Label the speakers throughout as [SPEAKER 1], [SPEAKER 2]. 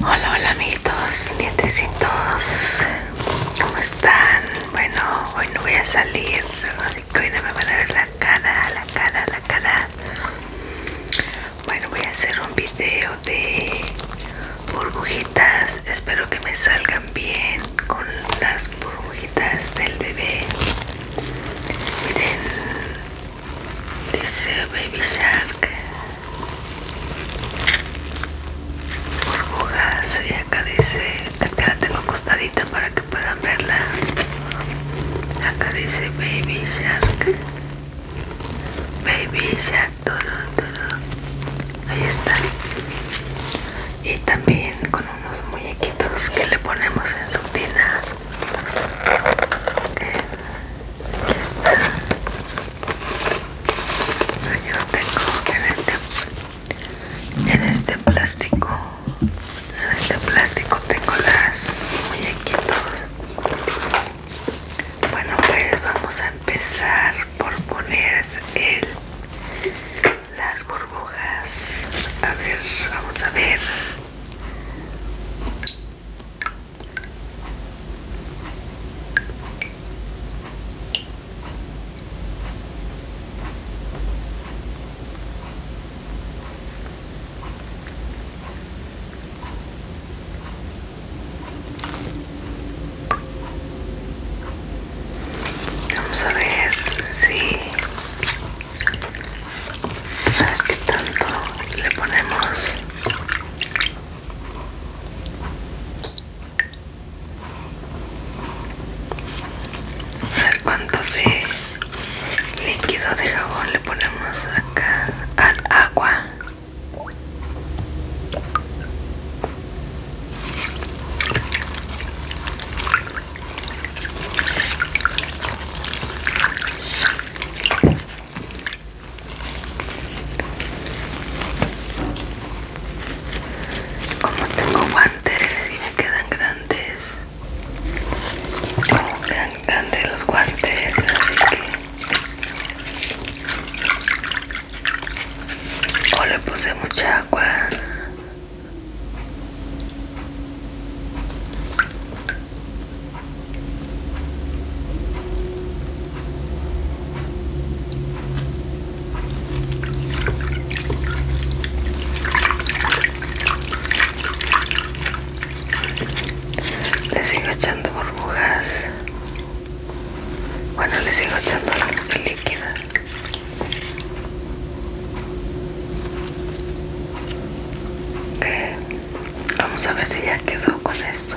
[SPEAKER 1] Hola, hola amiguitos, nietecitos, ¿cómo están? Bueno, hoy no voy a salir, así que hoy no me van a ver la cara, la cara, la cara. Bueno, voy a hacer un video de burbujitas, espero que me salgan bien con las burbujitas del bebé. Miren, Dice Baby Shark. Burbujas. Y acá dice. Es que la tengo acostadita para que puedan verla. Acá dice Baby Shark. Baby Shark. Ahí está. Y también con unos muñequitos que le ponemos en su tina. Ok Aquí está. tengo en este, en este plástico. En este plástico tengo las muñequitos. Bueno, pues vamos a empezar por poner las burbujas. A ver, vamos a ver. Vamos a ver si a qué tanto le ponemos a ver cuánto de líquido de jabón le ponemos acá al agua como tengo guantes y me quedan grandes, como quedan grandes los guantes, así que o le puse mucha agua. Le sigo echando burbujas. Bueno, le sigo echando la líquida. Vamos a ver si ya quedó con esto.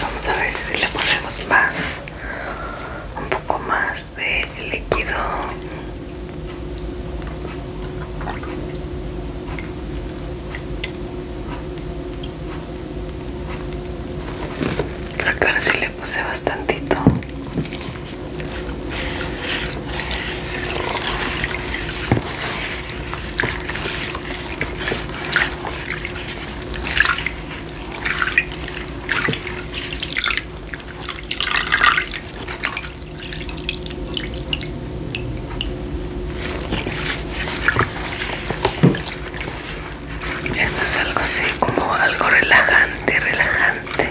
[SPEAKER 1] Vamos a ver si le ponemos más, un poco más de líquido. Acá sí le puse bastantito. Esto es algo así como algo relajante, relajante.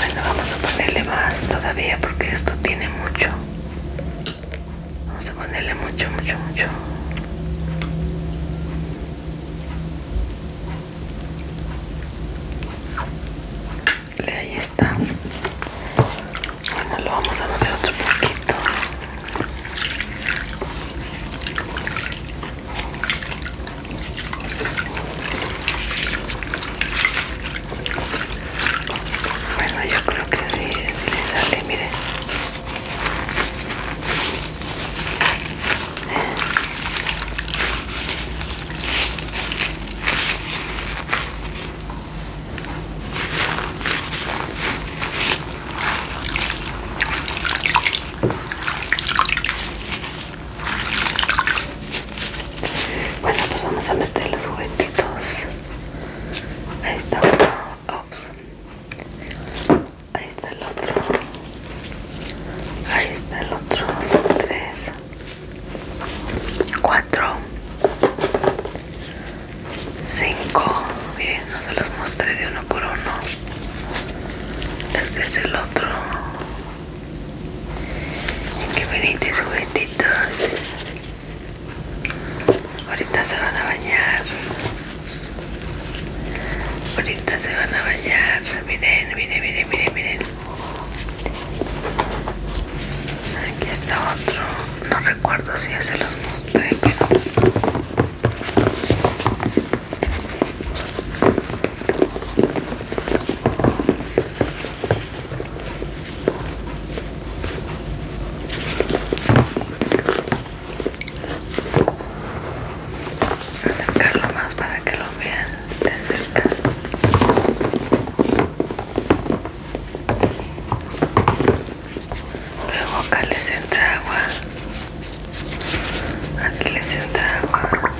[SPEAKER 1] Bueno, vamos a ponerle más todavía porque esto tiene mucho. Vamos a ponerle mucho, mucho, mucho. Ahí está. Bueno, lo vamos a mover otro poquito. Bueno, yo creo que sí, sí le sale, miren. Bueno, pues vamos a meter los juguetitos. Ahí está uno. Ops. Ahí está el otro. Ahí está el otro. Son tres. Cuatro. Cinco. Miren, no se los mostré de uno por uno. Este es el otro. Que bonitos juguetitos ahorita se van a bañar ahorita se van a bañar miren miren miren miren miren aquí está otro no recuerdo si ya se los mostré acercarlo más para que lo vean de cerca luego acá les entra agua aquí les entra agua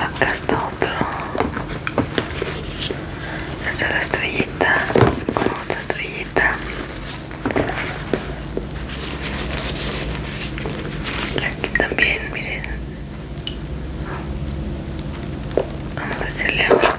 [SPEAKER 1] Acá está otro. es la estrellita con otra estrellita aquí también, miren. Vamos a echarle agüita.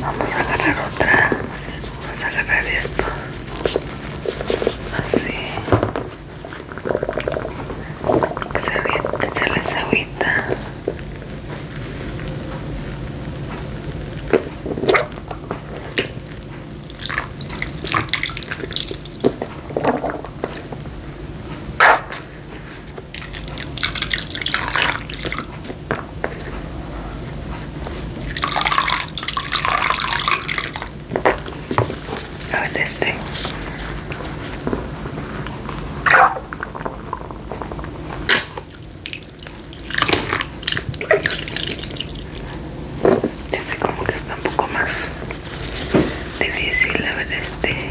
[SPEAKER 1] Vamos a agarrar otra. Vamos a agarrar esto. Así. Echarle esa agüita. A ver este. Este como que está un poco más difícil, a ver este.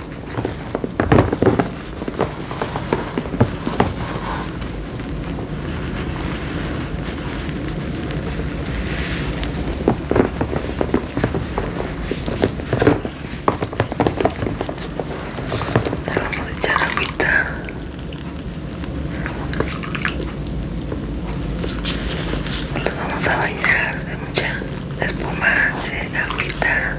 [SPEAKER 1] Le vamos a echar agüita. vamos a bañar de mucha espuma, de agüita.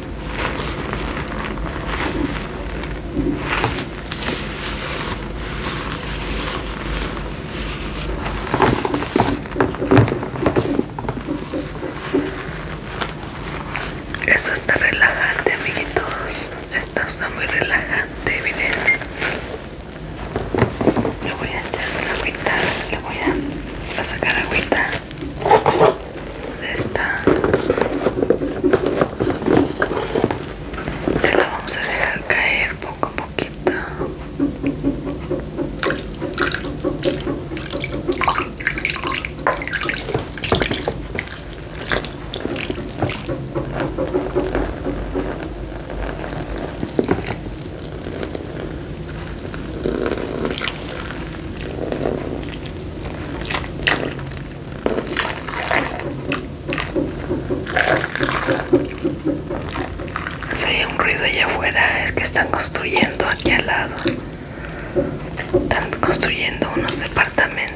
[SPEAKER 1] Esto está relajante, amiguitos. Esto está muy relajante, miren. Le voy a echar la agüita, le voy a, a sacar agüita. Esta está? la vamos a dejar caer poco a poquito. Si hay un ruido allá afuera, es que están construyendo aquí al lado. Están construyendo unos departamentos.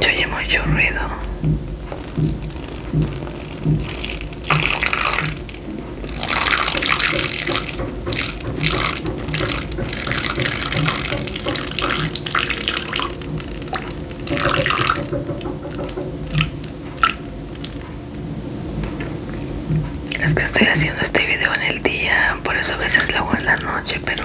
[SPEAKER 1] Yo oye mucho ruido. Es que estoy haciendo este video en el día, por eso a veces lo hago en la noche, pero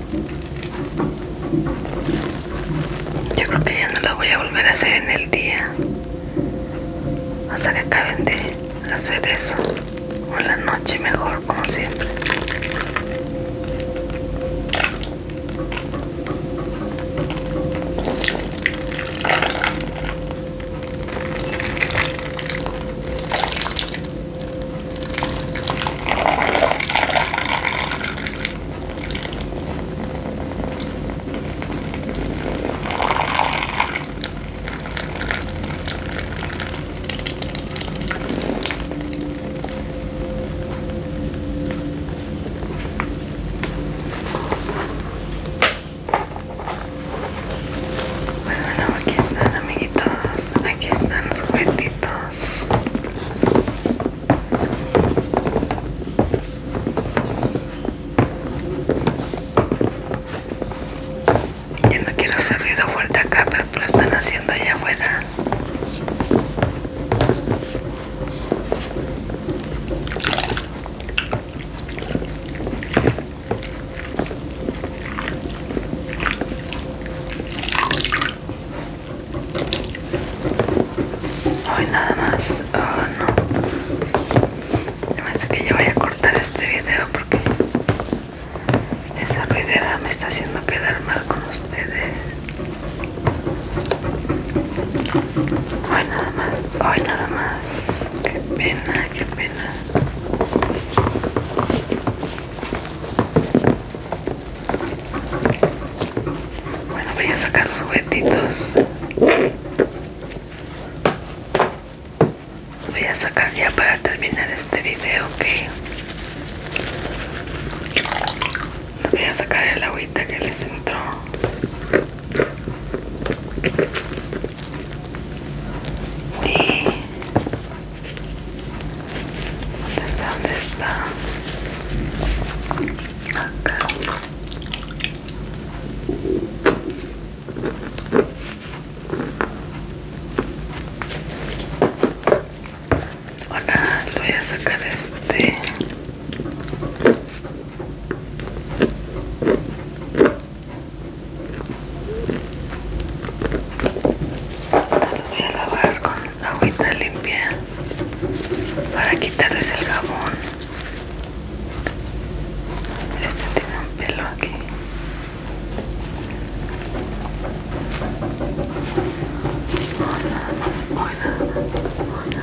[SPEAKER 1] Yo creo que ya no la voy a volver a hacer en el día. Hasta que acaben de hacer eso. O la noche mejor, como siempre. Bueno, aquí están amiguitos, aquí están los juguetitos Ya no quiero hacer ruido fuerte acá, pero lo están haciendo allá buena. Hoy nada más, oh, no. que yo voy a cortar este video porque esa ruidera me está haciendo quedar mal con ustedes. Hoy nada más, hoy nada más. Qué pena, qué pena. Bueno, voy a sacar los juguetitos. Voy a sacar ya para terminar este video, Voy a sacar el agüita que les entró. Y... ¿Dónde está? ¿Dónde está? Ahora voy a sacar este. Los voy a lavar con agüita limpia para quitarles el jabón este tiene un pelo aquí Hola, hola.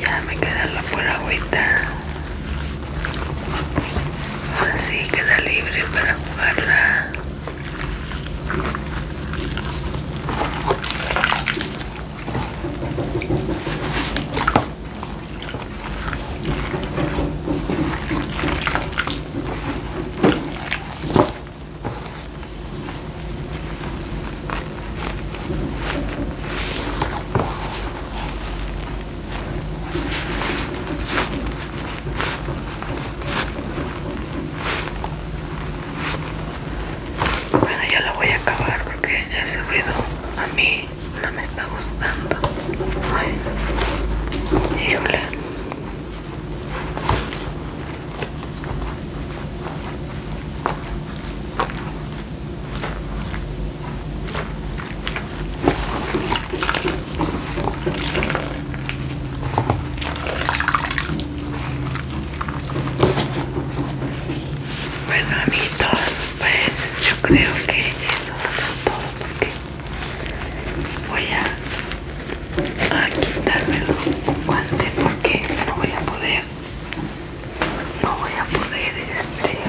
[SPEAKER 1] Ya me queda la pura agüita. Así queda libre para jugarla. Bueno, ya la voy a acabar porque ese ruido a mí no me está gustando. Bueno amiguitos, pues yo creo que eso va a ser todo porque voy a a quitarme los guantes porque no voy a poder no voy a poder este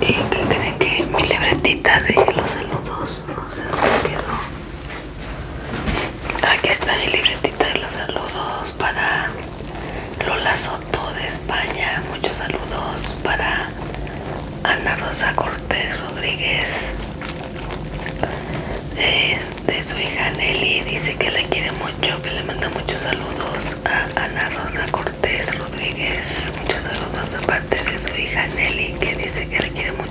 [SPEAKER 1] y que creen que mi libretita de los saludos no se me aquí está mi libretita de los saludos para Lola Soto de España muchos saludos para Ana Rosa Cortés Rodríguez de, su hija Nelly dice que la quiere mucho, que le manda muchos saludos a Ana Rosa Cortés Rodríguez, muchos saludos de parte de su hija Nelly que dice que la quiere mucho,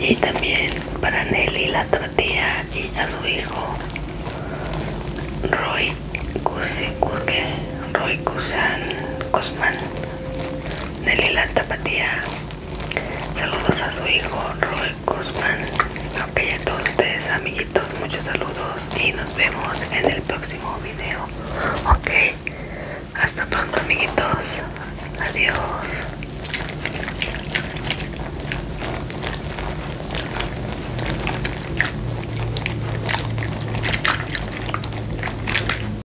[SPEAKER 1] Y también para Nelly, la tratía y a su hijo Roy Roy Cusan Cosman la Tapatía. Saludos a su hijo Roy Guzmán. Ok, a todos ustedes, amiguitos, muchos saludos y nos vemos en el próximo video. Ok, hasta pronto, amiguitos. Adiós.